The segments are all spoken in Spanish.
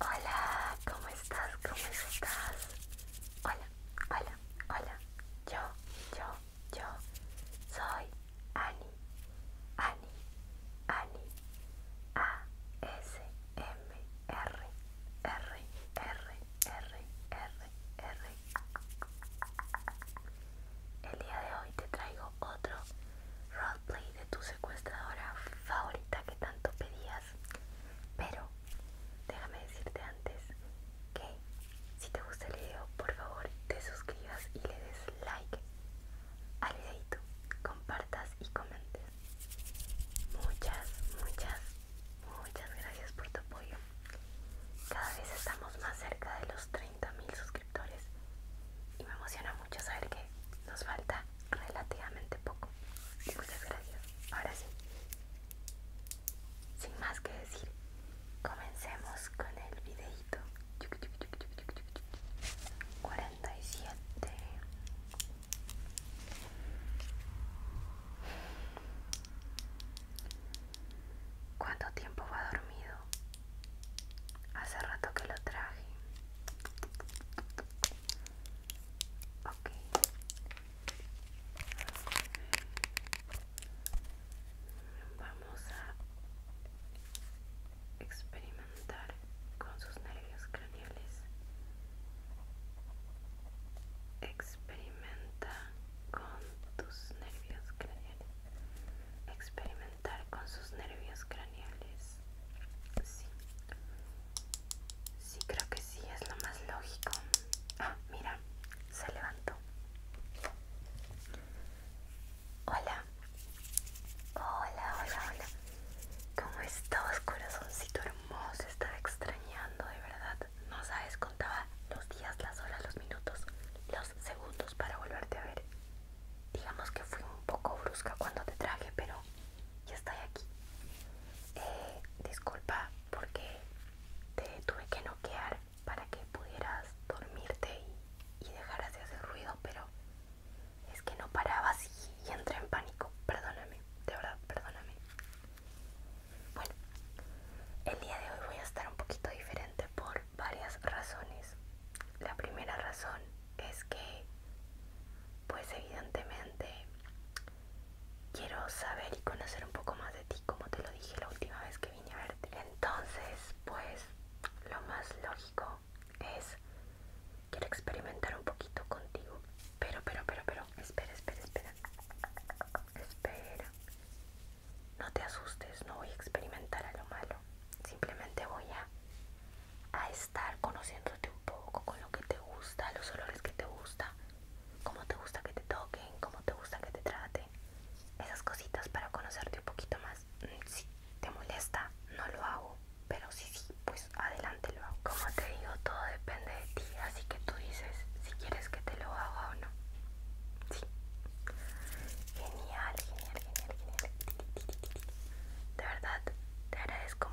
Hola, ¿cómo estás? ¿Cómo estás? Hola, hola, hola. Yo, yo, yo soy Ani. Ani, Ani. A S M R R R R R R. El día de hoy te traigo otro roleplay de tu secuestradora favorita que tanto pedías pero déjame decirte antes que si te gusta el video, por favor te suscribas y le des like al video compartas y comentes. Muchas, muchas, muchas gracias por tu apoyo. Cada vez estamos más cerca de los 30.000 suscriptores y me emociona mucho saber que nos falta relativamente poco. Muchas gracias. Ahora sí. Sin más que decir, comencemos con el videito. 47. ¿Cuánto tiempo va dormido? Hace rato que lo traje. Ok. Vamos a experimentar con sus nervios craneales. Experimenta con tus nervios craneales. Experimentar con sus nervios craneales. Sí. Sí, creo que sí, es lo más lógico. Ah, mira, se levantó. Hola. Hola, hola, hola. ¿Cómo estás, corazoncito hermoso? Estaba extrañando, de verdad. No sabes, contaba los días, las horas, los minutos, los segundos para volverte a ver. Digamos que fui un poco brusca cuando te traje, pero ya estoy aquí. Eh, disculpa porque te tuve que noquear para que pudieras dormirte y, dejaras de hacer ruido, pero es que no parabas y entré en pánico. Perdóname, de verdad, perdóname. Bueno, el día de hoy voy a estar un poquito diferente por varias razones. La primera razón es que pues evidentemente quiero saber y conocer un poco más de ti, como te lo dije la última vez que vine a verte. Entonces, pues lo más lógico es, quiero experimentar un poquito contigo. Pero, pero, pero, pero, espera, espera, espera. Espera. No te asustes, no voy a experimentar a lo malo. Simplemente voy a a estar conociéndote un poco con lo que te gusta, los olores que te gusta, cómo te gusta que te toquen, cómo te gusta que te traten. Esas cositas para conocerte un poquito más. Mm, si te molesta, no lo hago. Pero si sí, sí, pues adelante lo hago. Como te digo, todo depende de ti. Así que tú dices si quieres que te lo haga o no. Sí. Genial, genial, genial, genial. De verdad, te agradezco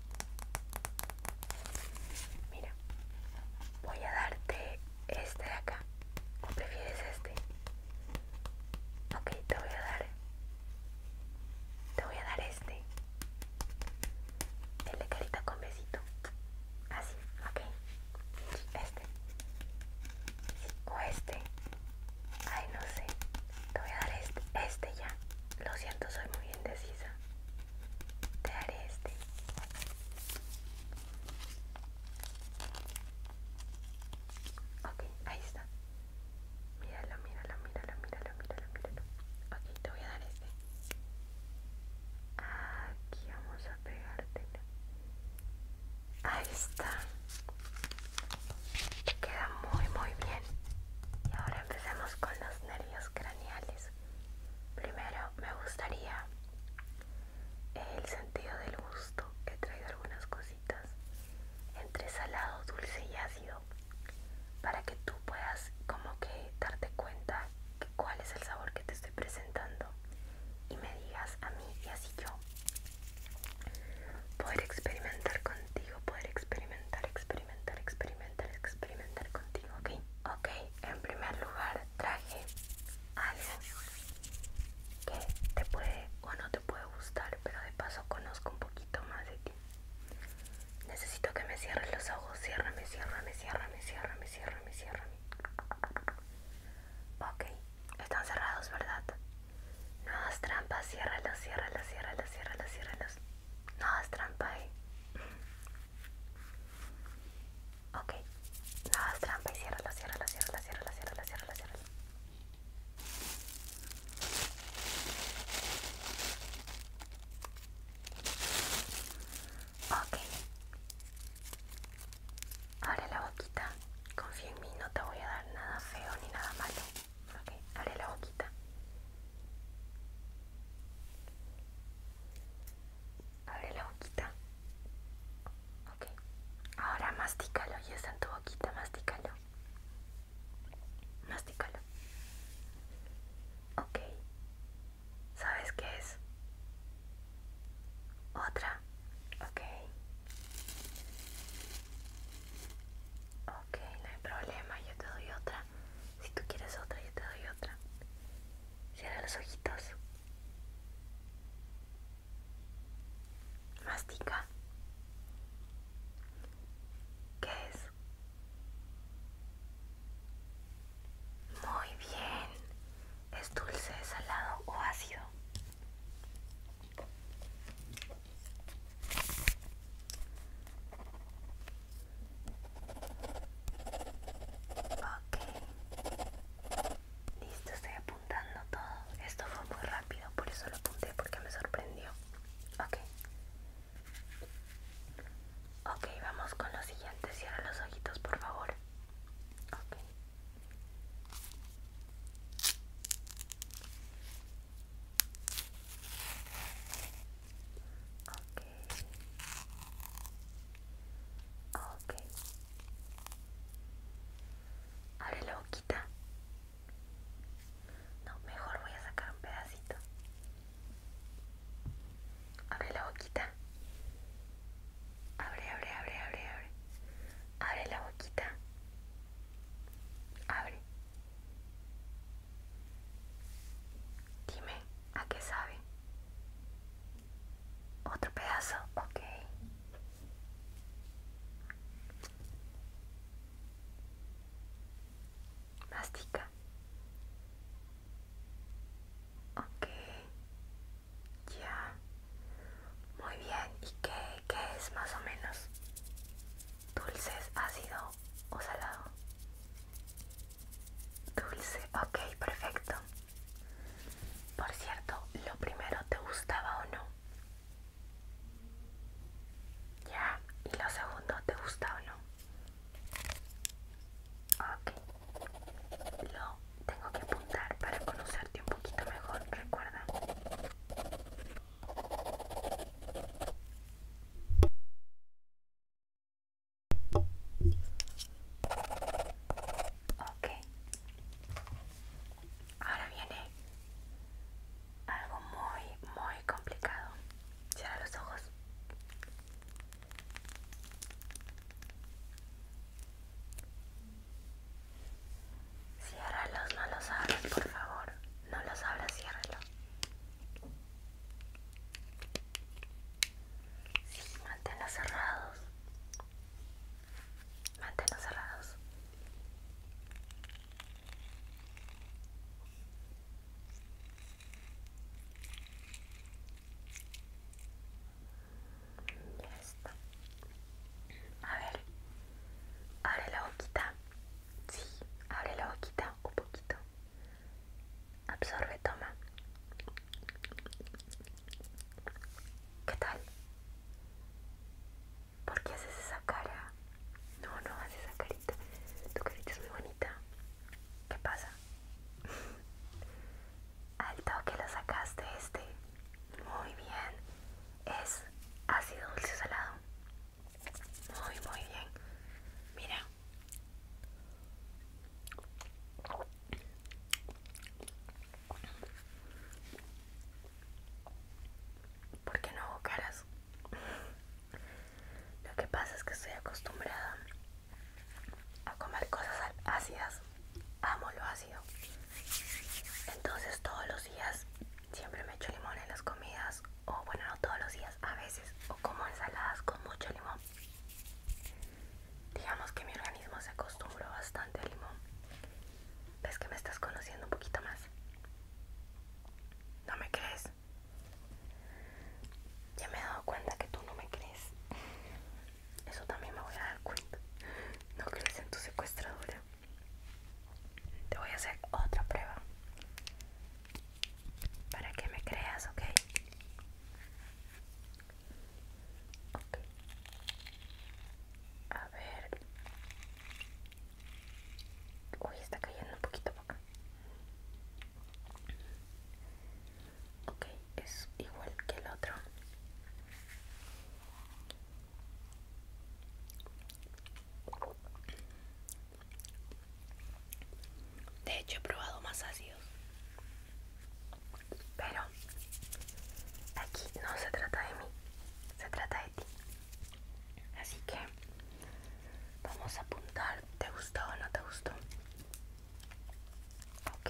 Mira, voy a darte este de acá. ¿O prefieres este? Ok, te voy a dar. Te voy a dar este. El de carita con besito. Así, ok. Este. o este. Ay, no sé. Te voy a dar este. Este ya. Lo siento, soy muy indecisa te haré este ok ahí está míralo míralo míralo míralo míralo míralo ok te voy a dar este aquí vamos a pegártelo ahí está queda muy muy bien y ahora empecemos con los nervios craneales Primero me gustaría el sentido del gusto. que traigo algunas cositas entre salado, dulce y ácido para que tú puedas como que darte cuenta que cuál es el sabor que te estoy presentando y me digas a mí y así yo poder experimentar contigo, poder experimentar, experimentar experimentar, experimentar, experimentar contigo, ¿ok? Ok, en primer lugar traje algo que te puede o no te puede gustar, pero de paso conozco un poquito más de ti. Necesito que me cierres los ojos, ciérrame, ciérrame, ciérrame, ciérrame, ciérrame, ciérrame. Ok, están cerrados, ¿verdad? No hagas trampa, ciérralos, ciérralos, ciérralos, ciérralos, ciérralos. No hagas trampa, eh. Ok, nada trampa y ciérrala, ciérrala, cierra, ciérrala, cierra, la cierra. Ok, abre la boquita, confía en mí, no te voy a dar nada feo ni nada malo. Ok, abre la boquita. Abre la boquita. Ok. Ahora mastícalo. Ya está en tu boquita. Mastícalo. Mastícalo. Ok. ¿Sabes qué es? Otra. Ok. Ok, no hay problema. Yo te doy otra. Si tú quieres otra, yo te doy otra. Cierra los ojitos. Mastica. ¿Qué es? Muy bien. ¿Es dulce, salado o ácido? Ok. Listo, estoy apuntando todo. Esto fue muy rápido, por eso lo apunté porque me sorprendió. Ok. Ok, vamos con lo siguiente. Cierra los ojitos, por favor. Ok. Ok. Abre la boquita. No, mejor voy a sacar un pedacito. Abre la boquita. Abre, abre, abre, abre, abre. Abre la boquita. Abre. Dime, ¿a qué sabe? Otro pedazo, okay. Mastica. Ok. Ya. Muy bien. ¿Y qué, qué es más o menos? Dulces, ácido o salado? Dulce, ok, perfecto. Por cierto, lo primero te gustaba o no. Ya, y lo segundo te gusta o no. Ok, lo tengo que apuntar para conocerte un poquito mejor, recuerda. Ok. Ahora viene algo muy, muy complicado. Cierra los ojos. cierra los, no los abras, por favor. No los abras, ciérralos. Sí, manténlos cerrados. Manténlos cerrados. Ya A ver, abre la boquita. Sí, abre la boquita un poquito. Absorbe, toma. ¿Qué tal? ¿Por qué haces esa cara? No, no, haces esa carita. Tu carita es muy bonita. ¿Qué pasa? Al toque lo sacaste este. Muy bien. Es ácido dulce salado. Muy, muy bien. Mira, ¿Por qué no hago caras? Lo que pasa es que estoy acostumbrada a comer cosas ácidas. Amo lo ácido. Entonces todos los días siempre me echo limón en las comidas. O bueno, no todos los días, a veces. O como ensaladas con mucho limón. Digamos que mi organismo se acostumbró bastante al limón. ¿Ves que me estás conociendo un poquito más? ¿No me crees? Ya me he dado cuenta que tú no me crees. Eso también me voy a dar cuenta. No crees en tu secuestradora. Te voy a hacer otra prueba para que me creas, ¿ok? Ok. A ver. Uy, está cayendo un poquito poco. Ok, es igual que el otro. De hecho, he probado más ácidos. Pero aquí no se trata de mí, se trata de ti. Así que vamos a apuntar, ¿te gustó o no te gustó? Ok.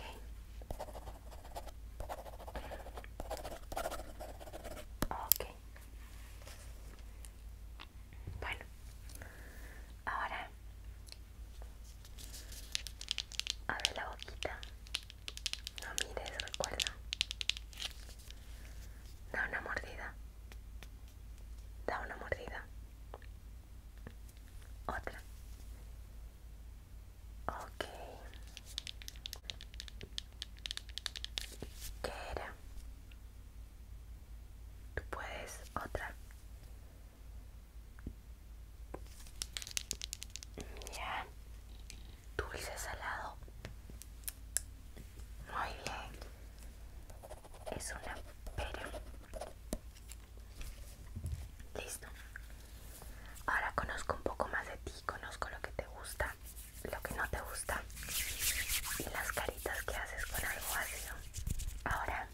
Ok. Bueno, ahora abre la boquita. No mires, recuerda. Da una mordida. Da una mordida. Otra. Ok. ¿Qué era? Tú puedes otra. Ya. Dulce salado. Muy bien. Es una pera. Listo. Ahora conozco un poco más de ti, conozco lo que te gusta, lo que no te gusta y las caritas que haces con algo ácido. Ahora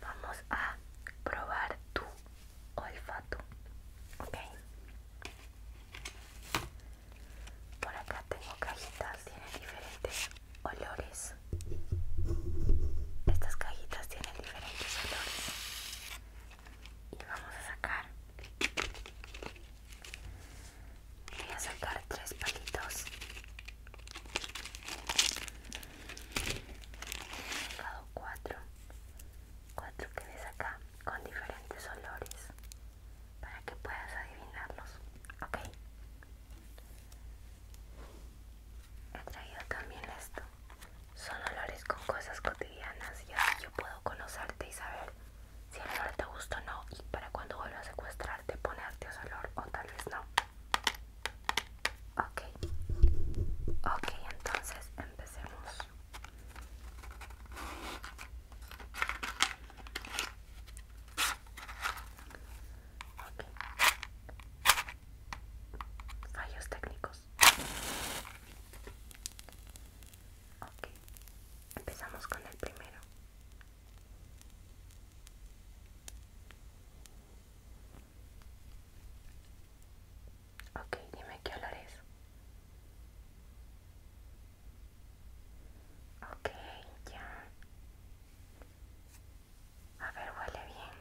vamos a probar tu olfato ok por acá tengo cajitas tienen diferentes olores estas cajitas tienen diferentes olores y vamos a sacar voy a sacar tres palitos he sacado cuatro cuatro que ves acá con diferentes olores para que puedas adivinarlos ok he traído también esto son olores con cosas cotidianas y así yo puedo conocerte y saber si el olor te gusta o no y para cuando vuelvas a secuestrarte ponerte ese olor o tal vez no Ok, okay, entonces empecemos. Fallos técnicos. Okay, empezamos con el primero. Ok, dime qué olor es. Ok, ya. A ver, huele bien.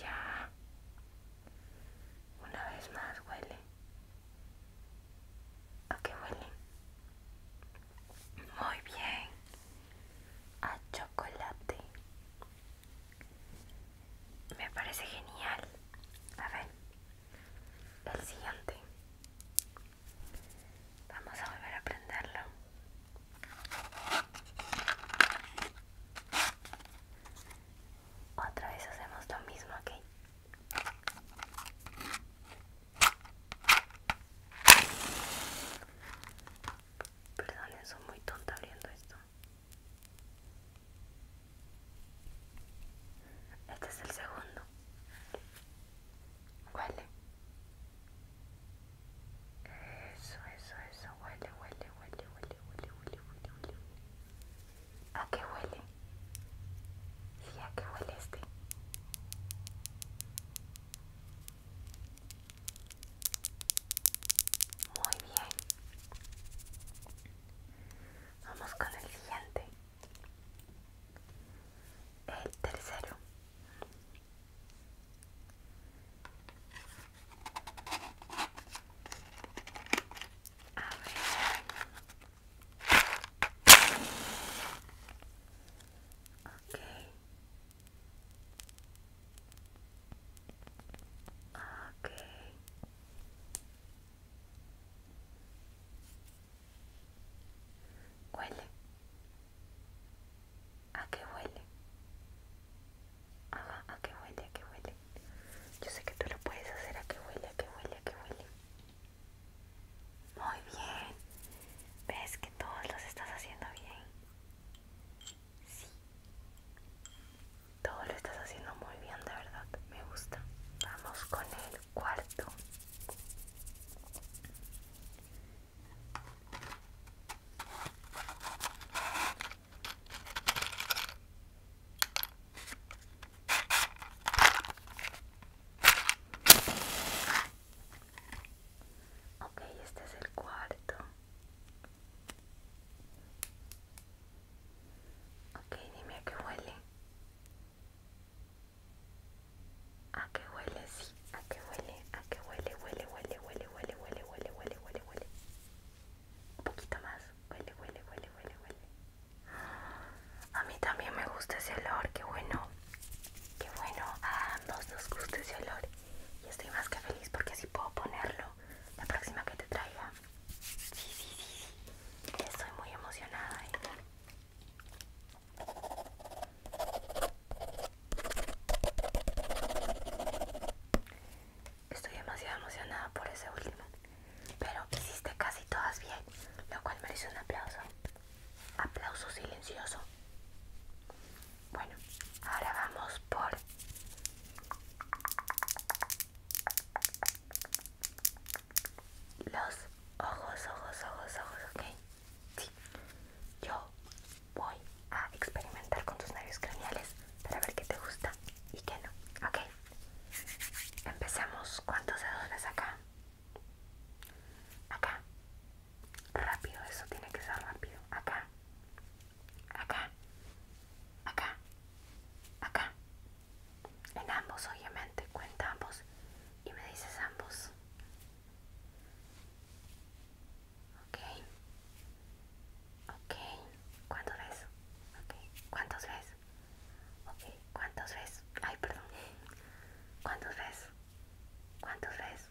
Ya. Una vez más huele. Okay, qué Muy bien. A chocolate. Me parece genial. A ver. El siguiente. Vamos a volver a prenderlo. Otra vez hacemos lo mismo aquí. Perdón, soy muy tonta abriendo esto. Este es el segundo. Huele. Eso, eso, eso. Huele, huele, huele, huele, huele, huele, huele, huele. ¿A qué huele? ¿Y ¿a qué huele este? Muy bien. Vamos con el siguiente. El tercero. A ver. Ok. Huele. ¿A qué huele? Ah, ¿a qué huele? ¿A qué huele? Yo sé que tú lo puedes hacer. ¿A qué huele? ¿A qué huele? ¿A qué huele? Muy bien. ¿Ves que todos los estás haciendo bien? Sí. Todo lo estás haciendo muy bien, de verdad. Me gusta. Vamos con el cuarto. Ok, este es el cuarto. Ok, dime a qué huele. ¿A qué huele? Sí, ¿a qué huele? ¿A qué huele? Huele, huele, huele, huele, huele, huele, huele, huele, huele. Un poquito más. Huele, huele, huele, huele, huele. A mí también me gusta ese olor, qué bueno. Qué bueno, a ambos nos gusta ese olor. Y estoy más que feliz porque así puedo ponerlo la próxima que te traiga. Sí, sí, sí, sí. Estoy muy emocionada. ¿eh? Estoy demasiado emocionada por ese último pero hiciste casi todas bien, lo cual merece un aplauso. Aplauso silencioso. Bueno, ahora vamos por... Los ojos, ojos, ojos, ojos, ok. Sí, yo voy a experimentar con tus nervios craneales para ver qué te gusta y qué no, ok. Empezamos, ¿cuántos dedos acá? acá, rápido, eso tiene que ser rápido, acá, acá, acá, acá, en ambos obviamente, cuenta ambos y me dices ambos, ok, ok, ¿cuántos ves? ¿cuántos ves? ¿cuántos ves? Ay, perdón. ¿Cuántos ves? ¿Cuántos ves?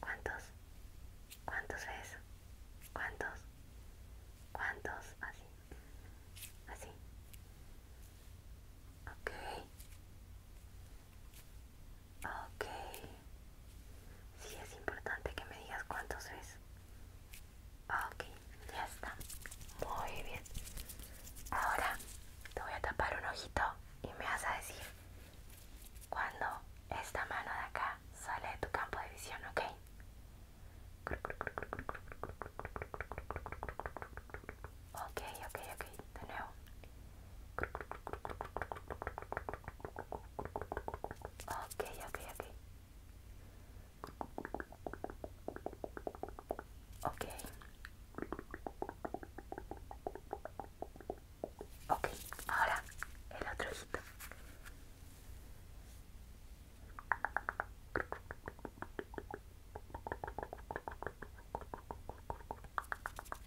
¿Cuántos? ¿Cuántos ves? ¿Cuántos? ¿Cuántos? Así. Así. Ok. Ok. Sí, es importante que me digas cuántos ves. Ok ya está muy bien ahora te voy a tapar un ojito y me vas a decir cuando esta mano de acá sale de tu campo de visión ok ok ok ok de nuevo ok ok ok Ok. Ok, ahora el otro ojito.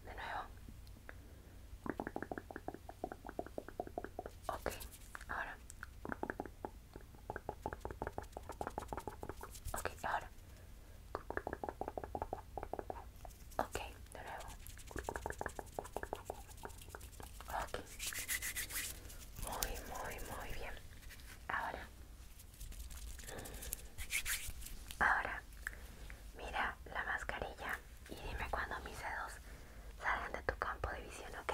De nuevo. Ok, ahora. Ok, ahora. Ok, de nuevo. Ok. Muy, muy, muy bien. Ahora. Ahora. Mira la mascarilla y dime cuando mis dedos salen de tu campo de visión, ¿ok?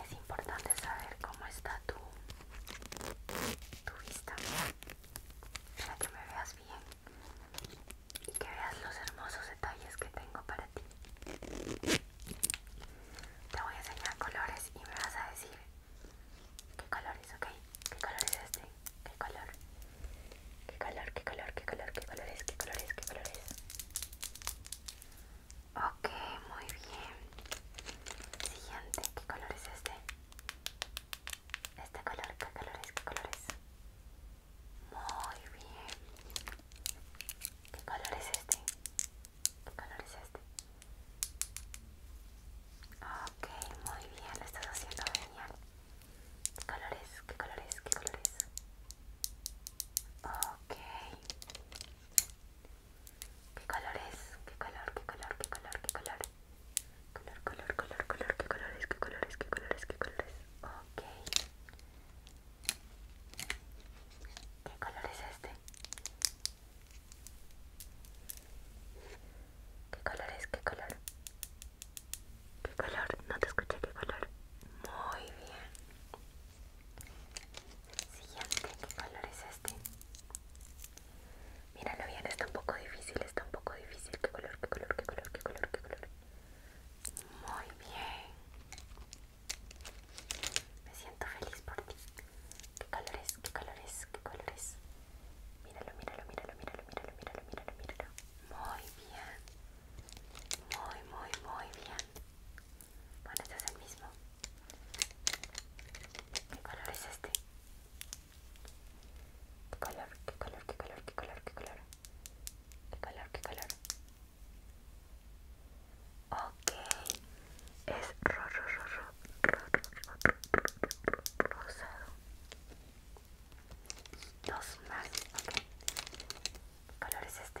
es importante saber cómo está tu, vista para que me veas bien y que veas los hermosos detalles que tengo para ti. Te voy a enseñar colores y me vas a decir qué colores, ¿ok? ¿Qué color es este? ¿Qué color? ¿Qué color? ¿Qué color? ¿Qué color? ¿Qué color ¿Qué color ¿Qué color Ok, muy bien. Siguiente, ¿qué color es este? Este color, ¿qué color es? ¿Qué color es? Muy bien. ¿Qué color es este? ¿Qué color es este? Ok, muy bien, lo estás haciendo genial. ¿Qué color es? ¿Qué color es? ¿Qué color es? Ok. ¿Qué color es? ¿Qué color? ¿Qué color? ¿Qué color? ¿Qué color? Color, color, color, color, ¿qué color ¿Qué color ¿Qué color ¿Qué color ¿Qué color es este? ¿Qué color es? ¿Qué color? ¿Qué color? No te escuché, ¿qué color? Muy bien. Siguiente, ¿qué color es este? Míralo bien, está un poco difícil, está un poco difícil. ¿Qué color, qué color, qué color, qué color, qué color? Muy bien. Me siento feliz por ti. ¿Qué color es? ¿Qué color es? ¿Qué color es? Míralo, míralo, míralo, míralo, míralo, míralo, míralo, míralo. Muy bien. Muy, muy, muy bien. Bueno, este es el mismo. ¿Qué color es este? ¿Qué color? ¿Qué color? ¿Qué color? ¿Qué color? ¿Qué color? ¿Qué color? ¿Qué color? Ok, es ro, ro, ro, ro, ro, ro, ro, rosado. Dos más, ok. ¿Qué color es este?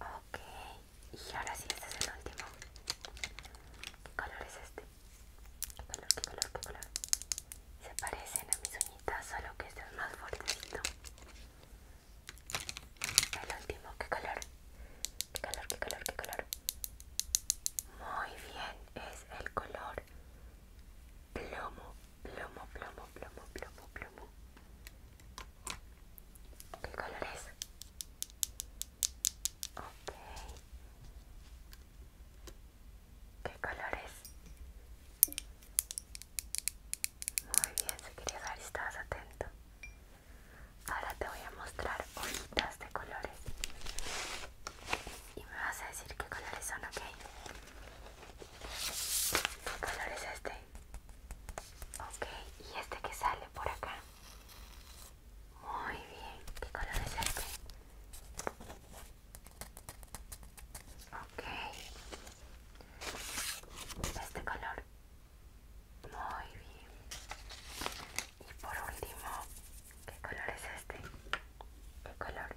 Ok, y ahora sí, este es el último. ¿Qué color es este? ¿Qué color, qué color, qué color? Se parecen a mis uñitas, solo que este es más fuertecito. El último, ¿qué color? ¿Qué color, qué color, qué color? Muy bien, es el color plomo. Plomo, plomo, plomo, plomo, plomo. ¿Qué color es? Ok. ¿Qué color es? Muy bien, si querías saber estabas atento. Ahora te voy a mostrar hojitas de colores. Y me vas a decir qué colores son, ok. ¿Qué color es este? Ok, y este que sale por acá. Muy bien, ¿qué color es este? Ok, este color. Muy bien. Y por último, ¿qué color es este? ¿Qué color?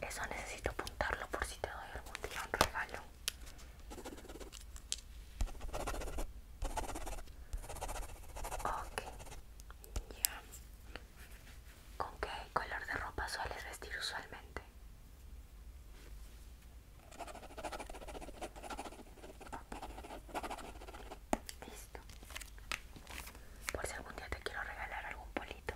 Eso necesito apuntarlo por si te doy algún día un regalo. Ok, ya. ¿Con qué color de ropa sueles vestir usualmente? Listo. Por si algún día te quiero regalar algún polito.